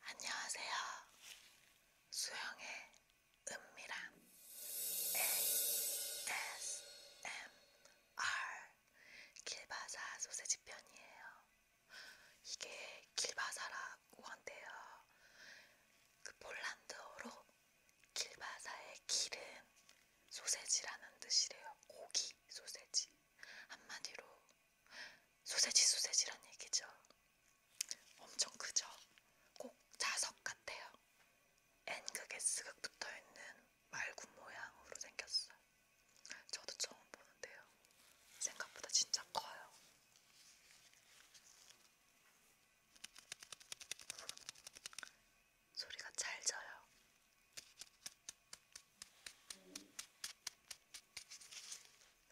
안녕하세요. 수영의 은밀한 ASMR 길바사 소세지 편이에요. 이게 길바사라고 한대요. 그 폴란드어로 길바사의 기름 소세지라는 뜻이래요. 고기 소세지. 한마디로 소세지 소세지란 얘기죠. 엄청 크죠. 꼭 자석 같아요. N극에 S극 붙어있는 말굽 모양으로 생겼어요. 저도 처음 보는데요. 생각보다 진짜 커요. 소리가 잘 져요.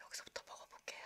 여기서부터 먹어볼게요.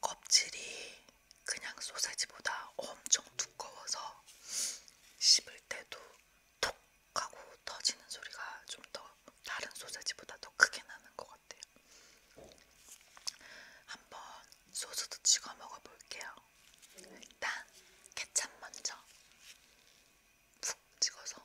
껍질이 그냥 소세지보다 엄청 두꺼워서 씹을 때도 톡 하고 터지는 소리가 좀 더 다른 소세지보다 더 크게 나는 것 같아요. 한번 소스도 찍어 먹어볼게요. 일단 케찹 먼저 푹 찍어서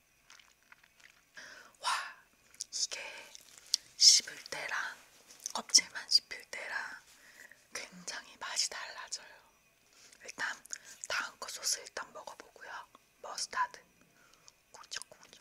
와, 이게 씹을 때랑 껍질만 씹힐 때랑 굉장히 맛이 달라져요. 일단 다음 거 소스 일단 먹어보고요. 머스타드. 꿀쩍꿀쩍.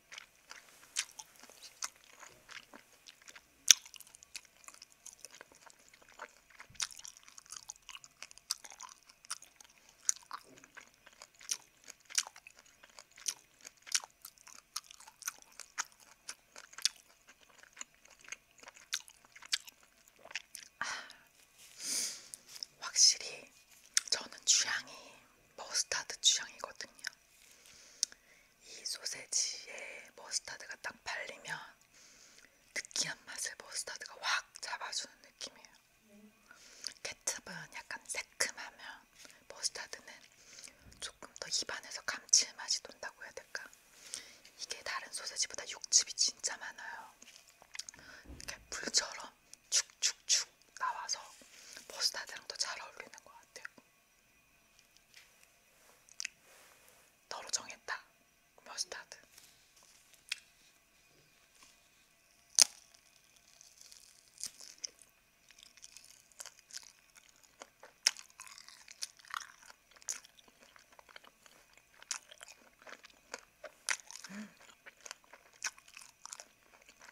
아, 확실히 저는 취향이 머스타드 취향이거든요. 이 소세지에 머스타드가 딱 발리면 느끼한 맛을 머스타드가 확 잡아주는 느낌이에요. 케첩은 약간 새큼하면 머스타드는 조금 더 입안에서 감칠맛이 돈다고 해야 될까? 이게 다른 소세지보다 육즙이 진짜 많아요. 이렇게 불처럼 축축축 나와서 머스타드랑 더 잘 어울리는 것 같아요. 너로 정했다. 머스타드.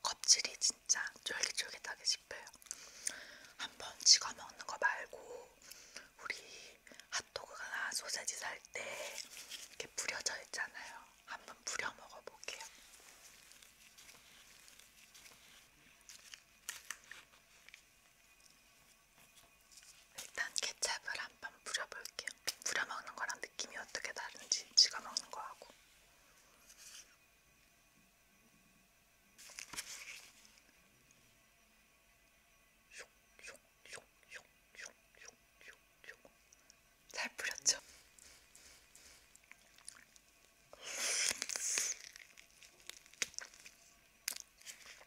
껍질이 진짜 쫄깃쫄깃하게 씹혀요. 한번 찍어 먹는 거 말고 우리 핫도그나 소세지 살 때 이렇게 부려져 있잖아요. 한번 부려 먹어볼게요. 일단 케첩을 한 번 뿌려볼게요. 뿌려먹는 거랑 느낌이 어떻게 다른지 찍어먹는 거하고 잘 뿌렸죠?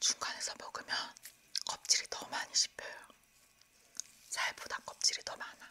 중간에서 먹으면 껍질이 더 많이 씹혀요. 살보다 껍질이 더 많아.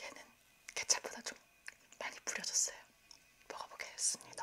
얘는 케첩보다 좀 많이 뿌려졌어요. 먹어보겠습니다.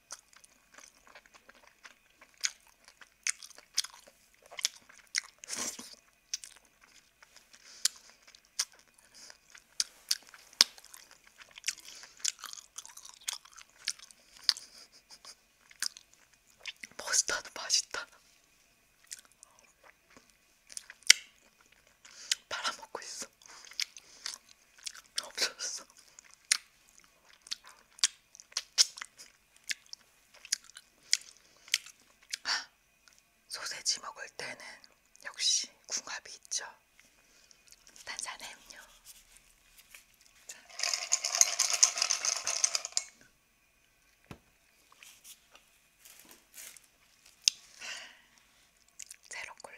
머스타드 맛있다. 팔아먹고 있어. 없어졌어. 소세지 먹을 때는 역시 궁합이 있죠. 탄산의 음료. 자. 제로 콜라.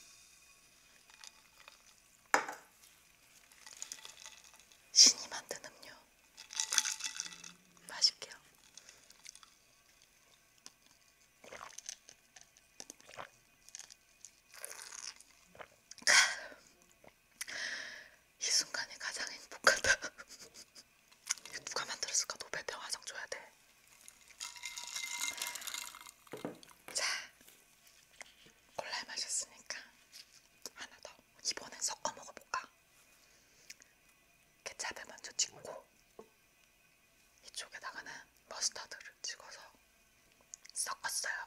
신이 만든 음료 맛있게요. 이 순간이 가장 행복하다. 누가 만들었을까? 노벨 평화상 줘야 돼. 자, 콜라 마셨으니까 하나 더. 이번엔 섞어 먹어볼까? 케찹에 먼저 찍고 이쪽에다가는 머스타드를 찍어서 섞었어요.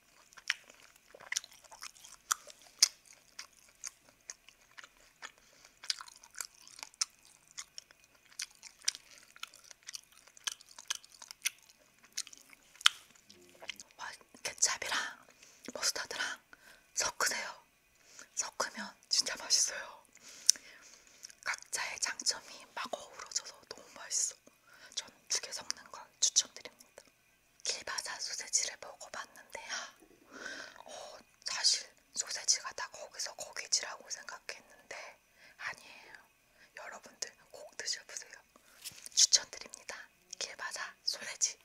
뭐, 케찹이랑 머스타드랑 섞으세요. 섞으면 진짜 맛있어요. 각자의 장점이 막 어우러져서 너무 맛있어. 저는 죽에 섞는 걸 추천드립니다. 길바사 소세지를 먹어봤는데요. 어, 사실 소세지가 다 거기서 거기지라고 생각했는데 아니에요. 여러분들 꼭 드셔보세요. 추천드립니다. 길바사 소세지.